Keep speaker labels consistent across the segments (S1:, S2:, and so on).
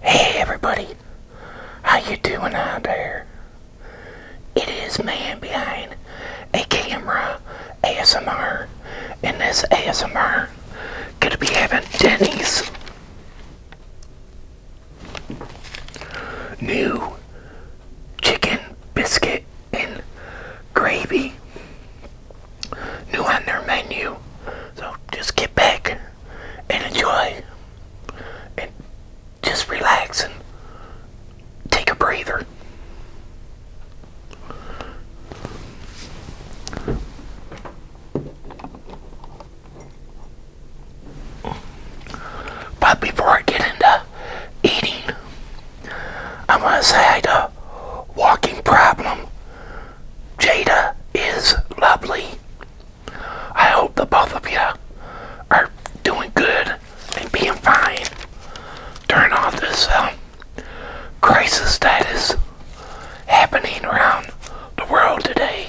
S1: Hey everybody, how you doing out there? It is man behind a camera ASMR, and this ASMR gonna be having Denny's new chicken biscuit and gravy new on their menu. So just get back and enjoy and just relax and take a breather. But before I get into eating, I want to say I had a walking problem Jada is lovely. I hope the both of you are doing good and being fine Turn off this um, crisis that is happening around the world today.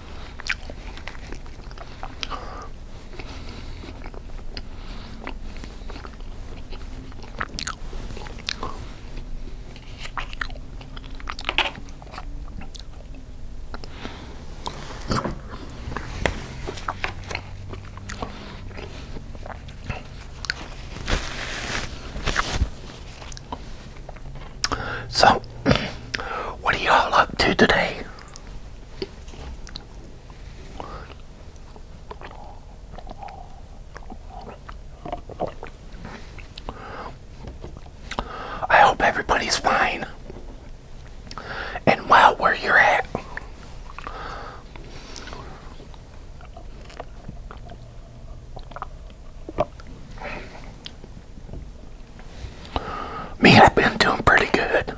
S1: So, what are y'all up to today? I hope everybody's fine and well where you're at. Me, I've been doing pretty good.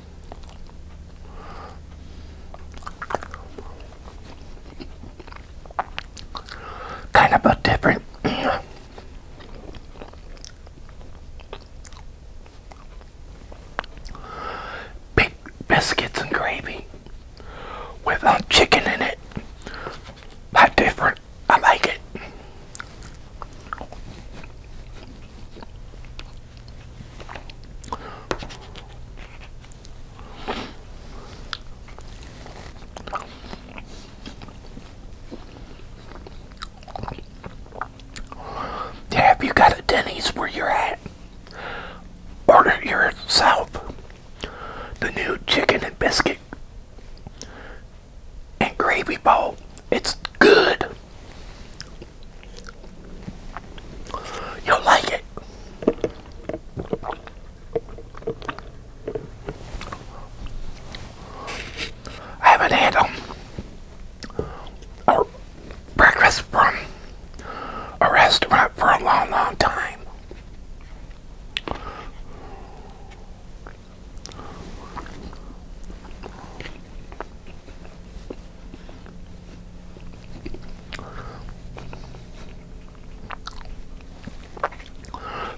S1: Kind of a different big biscuits and gravy with uh, chicken in it. Not different. I like it. Have you got a Denny's where you're at, order yourself the new chicken and biscuit and gravy bowl. It's good. You'll like it. I haven't had um, breakfast from a restaurant for a long, long time.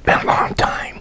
S1: Been a long time.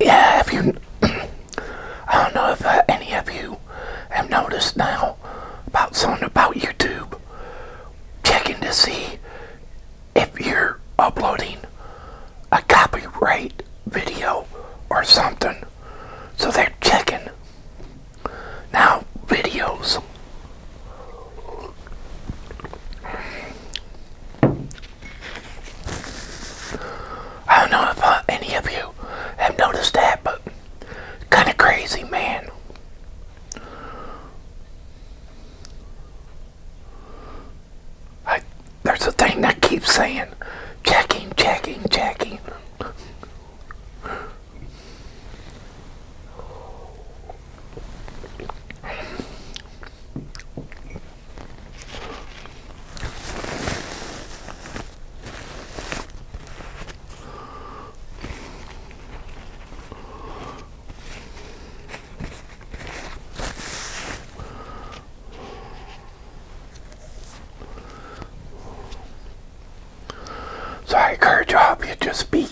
S1: Yeah, if you, I don't know if uh, any of you have noticed now about something about YouTube, checking to see if you're uploading a copyright video or something. So they're checking now videos. I don't know if uh, any of you have noticed that, but kind of crazy, man. I, there's a thing that keeps saying, checking, checking, checking. So I encourage all to you just be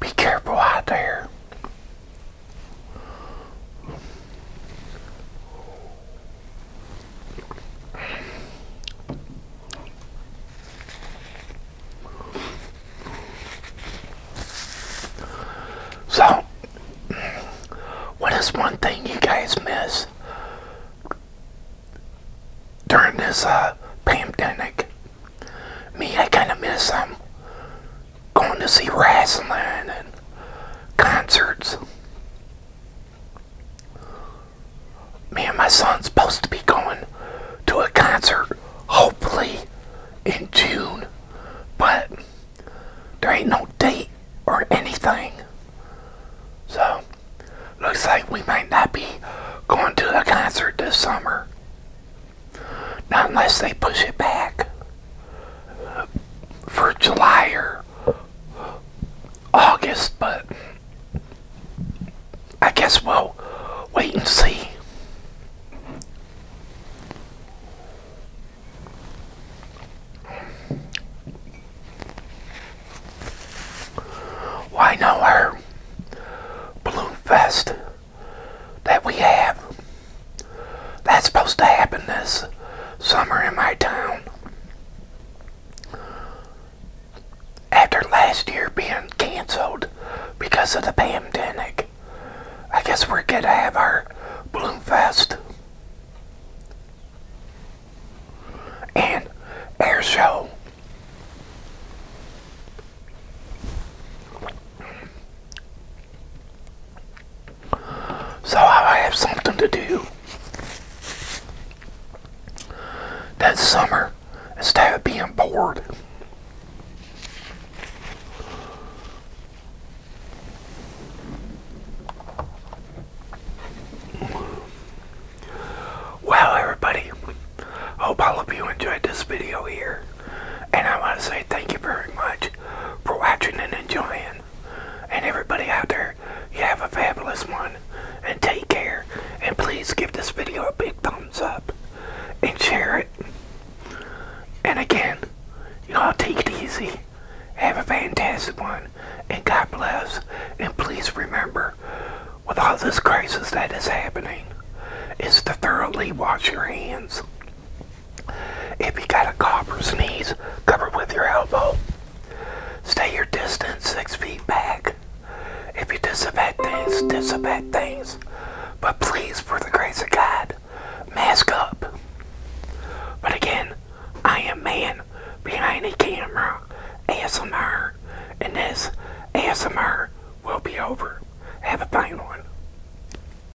S1: be careful out there. So, what is one thing you guys miss during this uh, pandemic? Me, I kind of miss them um, going to see wrestling and concerts. Me and my son's supposed to be going to a concert, hopefully in June, but there ain't no date or anything. So, looks like we might not be going to the concert this summer. Not unless they push it back for July or August, but I guess we'll wait and see. Why well, no our balloon fest that we have that's supposed to happen this summer in my town. After last year being canceled because of the pandemic, I guess we're going to have our fest and air show. So I have something to do that summer instead of being bored. Well, everybody, hope all of you enjoyed this video here. And I want to say thank you very much for watching and enjoying. And everybody out there, you have a fabulous one. And take care. And please give this video a big thumbs up. And share it. And again, you know, take it easy. Have a fantastic one. And God bless. And please remember, with all this crisis that is happening, is to thoroughly wash your hands. If you got a cough or sneeze, cover with your elbow. Stay your distance six feet back. If you disinfect things, disinfect things. But please, for the grace of God, mask up. But again, I am man behind the camera, ASMR, and this ASMR will be over. Have a fine one.